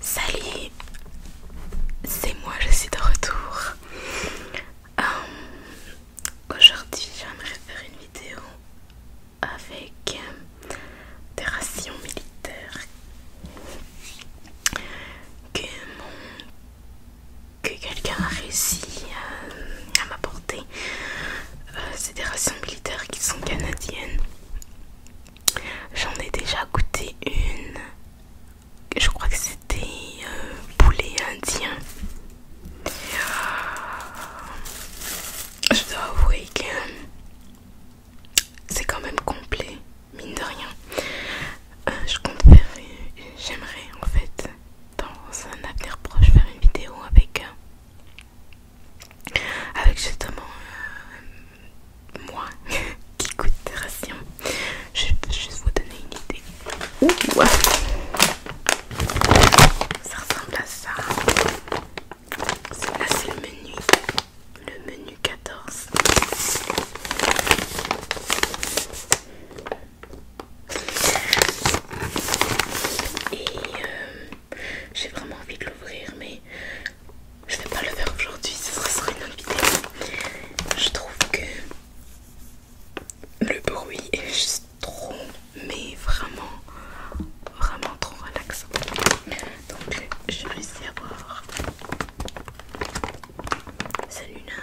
Salut, c'est moi, je suis de retour. Euh, aujourd'hui, j'aimerais faire une vidéo avec euh, des rations militaires que, quelqu'un a réussi euh, à m'apporter. c'est des rations militaires qui sont canadiennes. J'en ai déjà goûté une. Je crois que c'était euh, poulet indien. Je dois avouer que c'est quand même complet, mine de rien. Euh, je compte faire, j'aimerais en fait, dans un avenir proche, faire une vidéo avec, avec justement euh, moi qui coûte des Je vais juste vous donner une idée. Ouh. Ah. Ça ressemble à ça. Là c'est le menu. Le menu 14. Et euh, j'ai vraiment envie de l'ouvrir mais je ne vais pas le faire aujourd'hui, ce sera sur une autre vidéo. Je trouve que le bruit est juste trop, mais vraiment, vraiment trop relaxant. Donc je vais essayer voir Salut là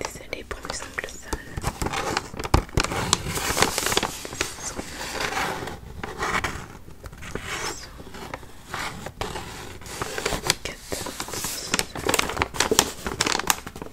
Désolée pour le simple saxons Quatre.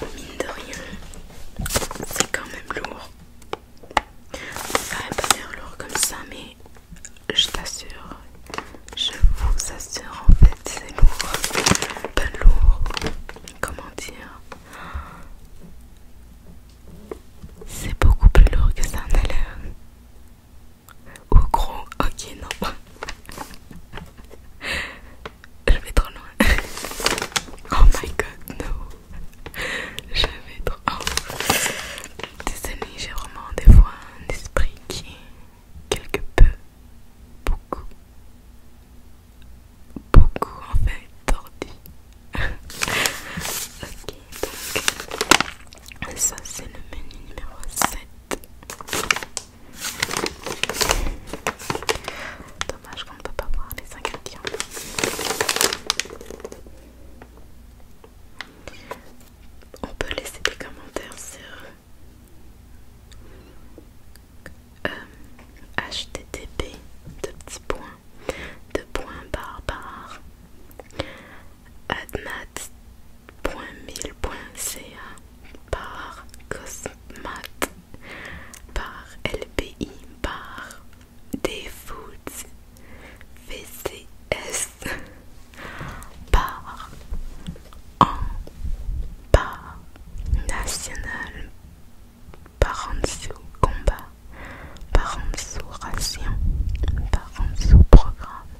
Mine de rien, c'est quand même lourd. Ça va pas lourd comme ça, mais je t'assure, je vous assure en fait, c'est lourd. Pas lourd, comment dire C'est beaucoup plus lourd que ça en a l'air. Ou gros Ok, non. Je vais trop loin. Oh my god, non, Je vais trop. loin j'ai vraiment des fois un esprit qui est quelque peu, beaucoup, beaucoup en fait tordu. ok, donc ça c'est le menu numéro 7. Dommage qu'on ne peut pas voir les ingrédients. On peut laisser des commentaires sur http euh, de petits points de points barbares admat.mil.ca par Cosmat par LPI par DFoods VCS par en par national par en combat par en ration par en dessous programme ASP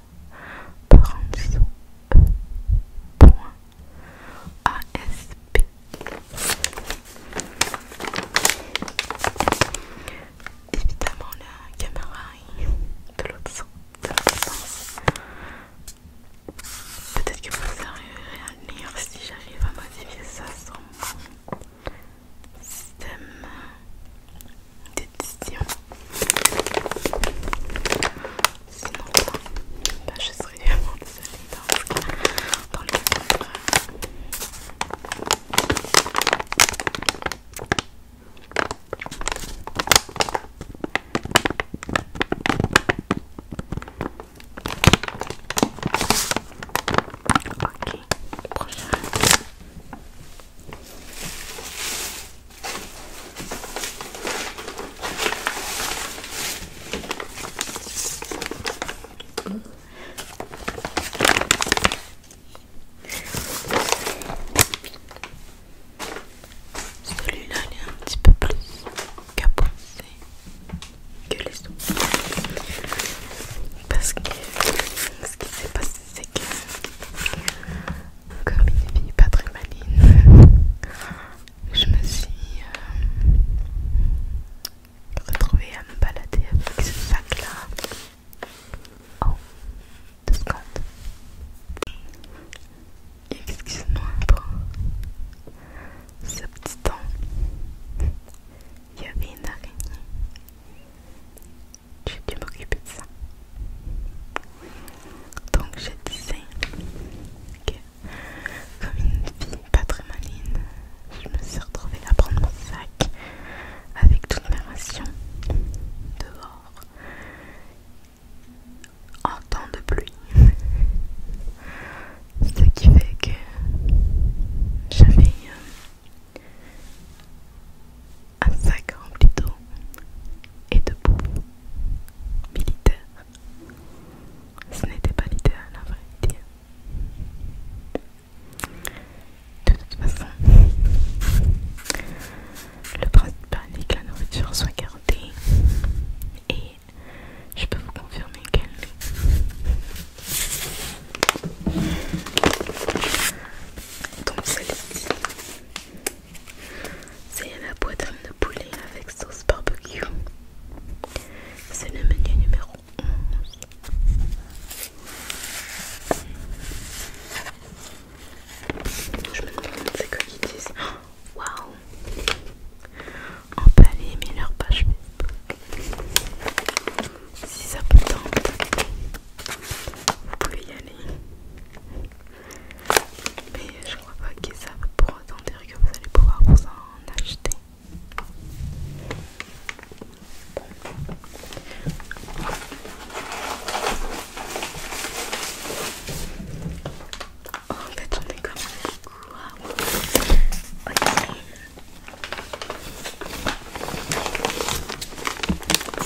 Évidemment, la caméra est de l'autre sens. Peut-être que vous arriverez à le lire si j'arrive à modifier ça sur mon système diététicien. Sinon, bah, je serais vraiment désolée dans dans le prochain. Celui-là, il est un petit peu plus capoté que les autres. Parce que ce qui s'est passé, c'est que comme une fille pas très maline, je me suis euh, retrouvée à me balader avec ce sac là. Oh, de Scott. Excuse-moi pour ce petit temps. Il y avait une araignée. J'ai dû m'occuper de ça. Donc je disais que comme une fille pas très maligne, je me suis retrouvée à prendre mon sac avec toute mes rations dehors en temps de pluie. Ce qui fait que j'avais euh, un sac rempli d'eau et de militaire. Ce n'était pas l'idéal, à vrai dire. De toute façon, le principe est que la nourriture soit gardée et je peux vous confirmer qu'elle Donc celle-ci, c'est la poitrine de poulet avec sauce barbecue. C'est le menu numéro 11. Je me demande c'est que qu'ils disent. Oh, waouh! aller mais leur page Si ça vous tente, vous pouvez y aller. Mais je crois pas qu'ils savent pour autant dire que vous allez pouvoir vous en acheter. Oh, en fait, on est quand même beaucoup.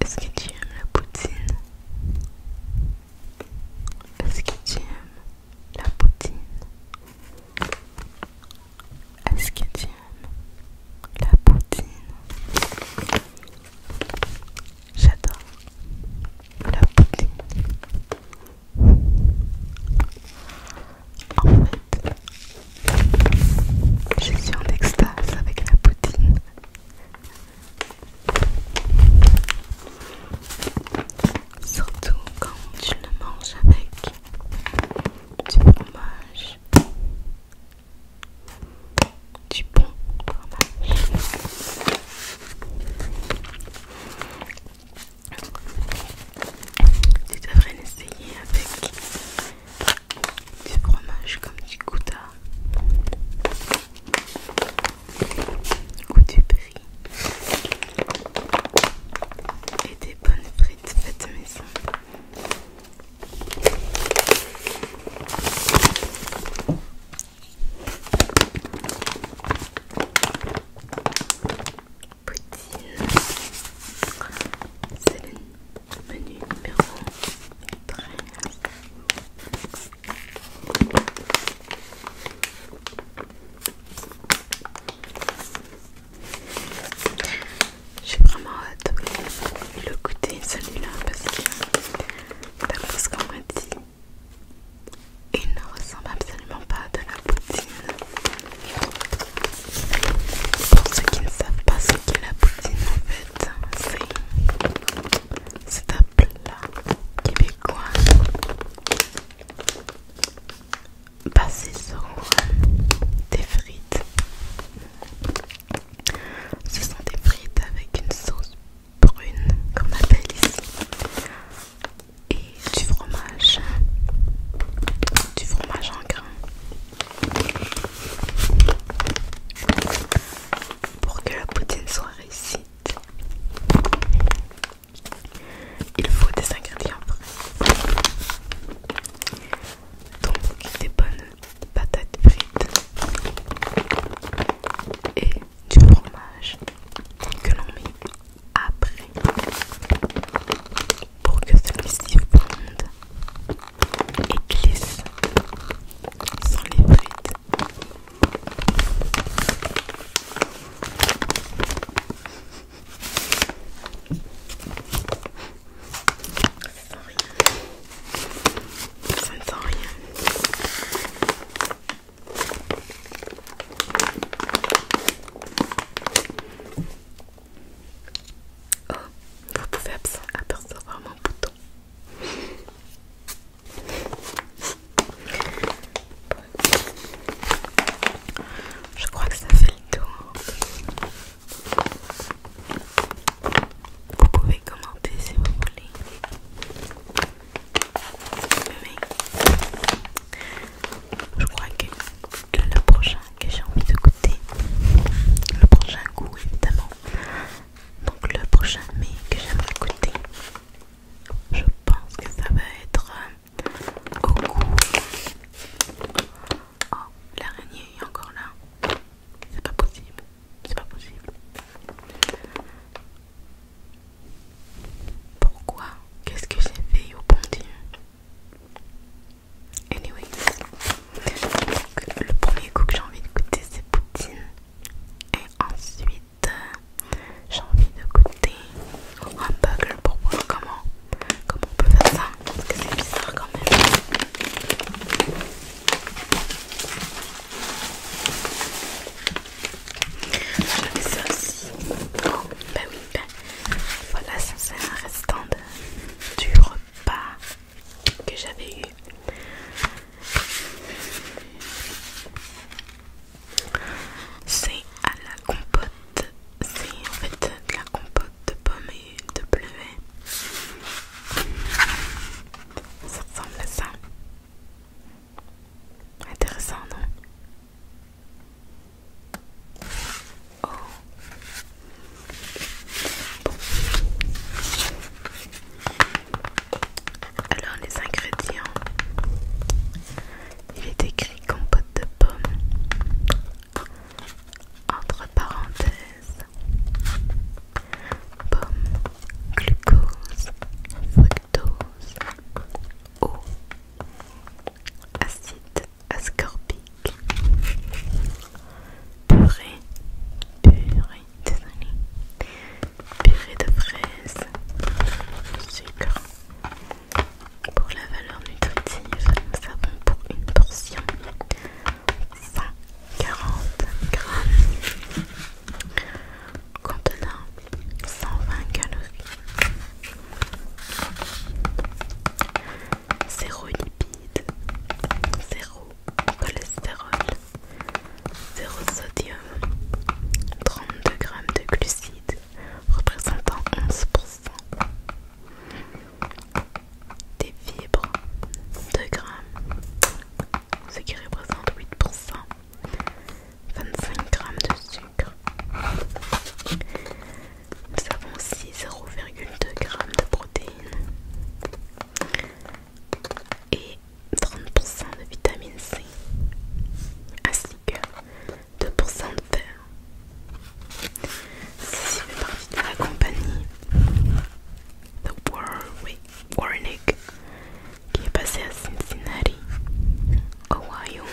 Est-ce que tu aimes la poutine Est-ce que tu aimes la poutine Est-ce que tu aimes la poutine J'adore la poutine. Je suis en extase avec la poutine. Surtout quand je le mange avec du fromage. Du bon fromage. Tu devrais l'essayer avec du fromage comme du gouda ou du brie et des bonnes frites faites maison poutine. C'est le menu numéro 13. J'ai vraiment hâte de le goûter celui-là parce que d'après ce qu'on m'a dit, il ne ressemble absolument pas à de la poutine. Pour ceux qui ne savent pas ce qu'est la poutine en fait, c'est un plat québécois basé sur des frites. Ce sont des frites avec une sauce brune qu'on appelle ici et du fromage, du fromage en grain pour que la poutine soit réussite, il faut des ingrédients donc des bonnes patates frites et du fromage que l'on met après pour que celui-ci fonde et glisse sans les bruits. Ça ne sent rien. Ça ne sent rien. Oh, vous pouvez apercevoir mon bouton. Je crois que ça fait le tour. Vous pouvez commenter si vous voulez. je crois que le prochain que j'ai envie de goûter le prochain goût évidemment donc le prochain mais que j'ai de goûter je pense que ça va être euh, au goût oh l'araignée est encore là c'est pas possible c'est pas possible pourquoi qu'est-ce que j'ai fait au bon Dieu Anyway, le premier goût que euh, j'ai envie de goûter c'est poutine. Et ensuite, j'ai envie de goûter un bugle pour voir comment, comment on peut faire ça. Parce que c'est bizarre quand même. J'avais ça aussi. Ben oui, ben voilà, ça c'est un restant de du repas que j'avais eu. C'est à la compote, c'est en fait de la compote de pommes et de bleuets. Ça ressemble à ça. Intéressant, non Oh. Alors les ingrédients. Il est écrit compote de pomme. Entre parenthèses. pommes, glucose, fructose, eau, acide, ascorbique, purée, purée, désolé, purée de fraises, sucre. Pour la valeur nutritive, nous avons pour une portion 140 grammes contenant 120 calories. 0 lipide, 0 cholestérol, 0 sodium, 32 g de glucides représentant 11%, des fibres 2 grammes, ce qui représente 8%, 25 g de sucre. Nous avons aussi 0,2 g de protéines et 30% de vitamine C, ainsi que 2% de fer. Ceci fait partie de la compagnie The Warwick qui est passée à Cincinnati, Ohio.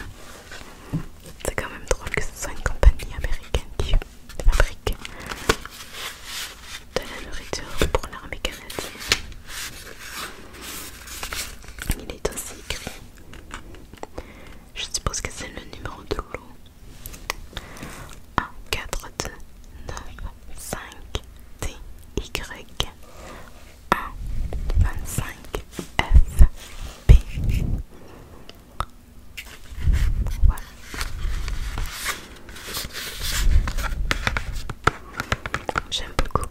C'est quand même drôle que ce soit une compagnie américaine de fabrique de la nourriture pour l'armée canadienne. Il est aussi écrit. Je suppose que c'est le numéro de l'eau. 1, 4, 2, 9, 5, t Y, 1, 25, F, B. J'aime beaucoup.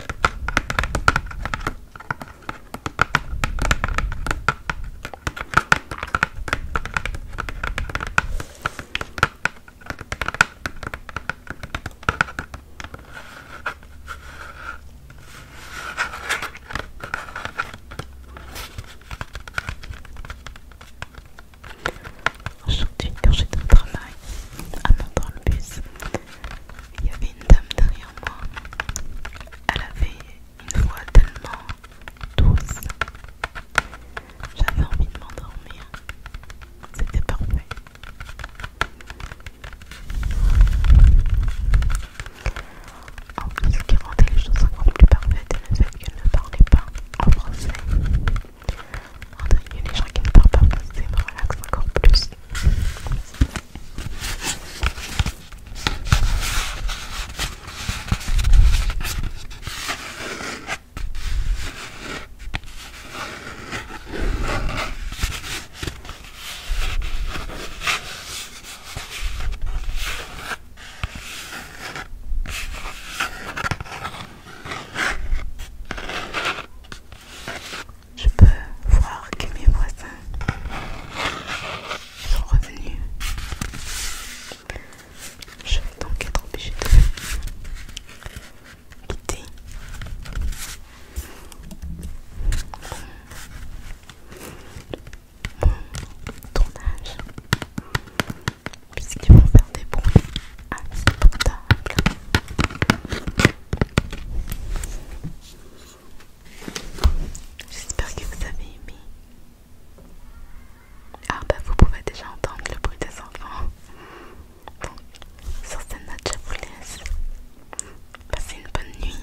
Aujourd'hui, quand j'étais au travail, en dans le bus, il y avait une dame derrière moi. Elle avait une voix tellement douce. J'avais envie de m'endormir. C'était parfait. En plus, ce qui rendait les choses encore plus parfaites est le fait qu'elle ne parlait pas en français. Entraîner les gens qui ne parlent pas français me relaxe encore plus. Je peux voir que mes voisins sont revenus. Je vais donc être obligé de quitter mon tournage puisqu'ils vont faire des bruits insupportables. J'espère que vous avez aimé. Ah bah vous pouvez déjà entendre le bruit des enfants. sur cette note je vous laisse. Passer une bonne nuit.